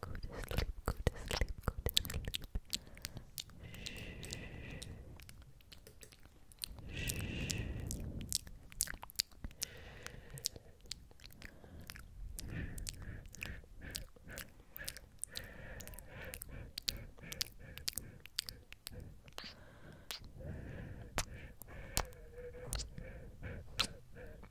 Go to sleep, go to sleep, go to sleep. Shh. Shh.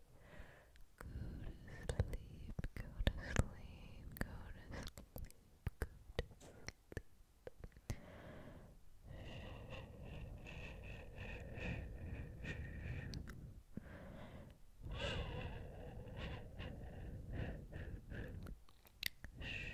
to sleep, go to sleep, go to sleep, go to sleep. Shh.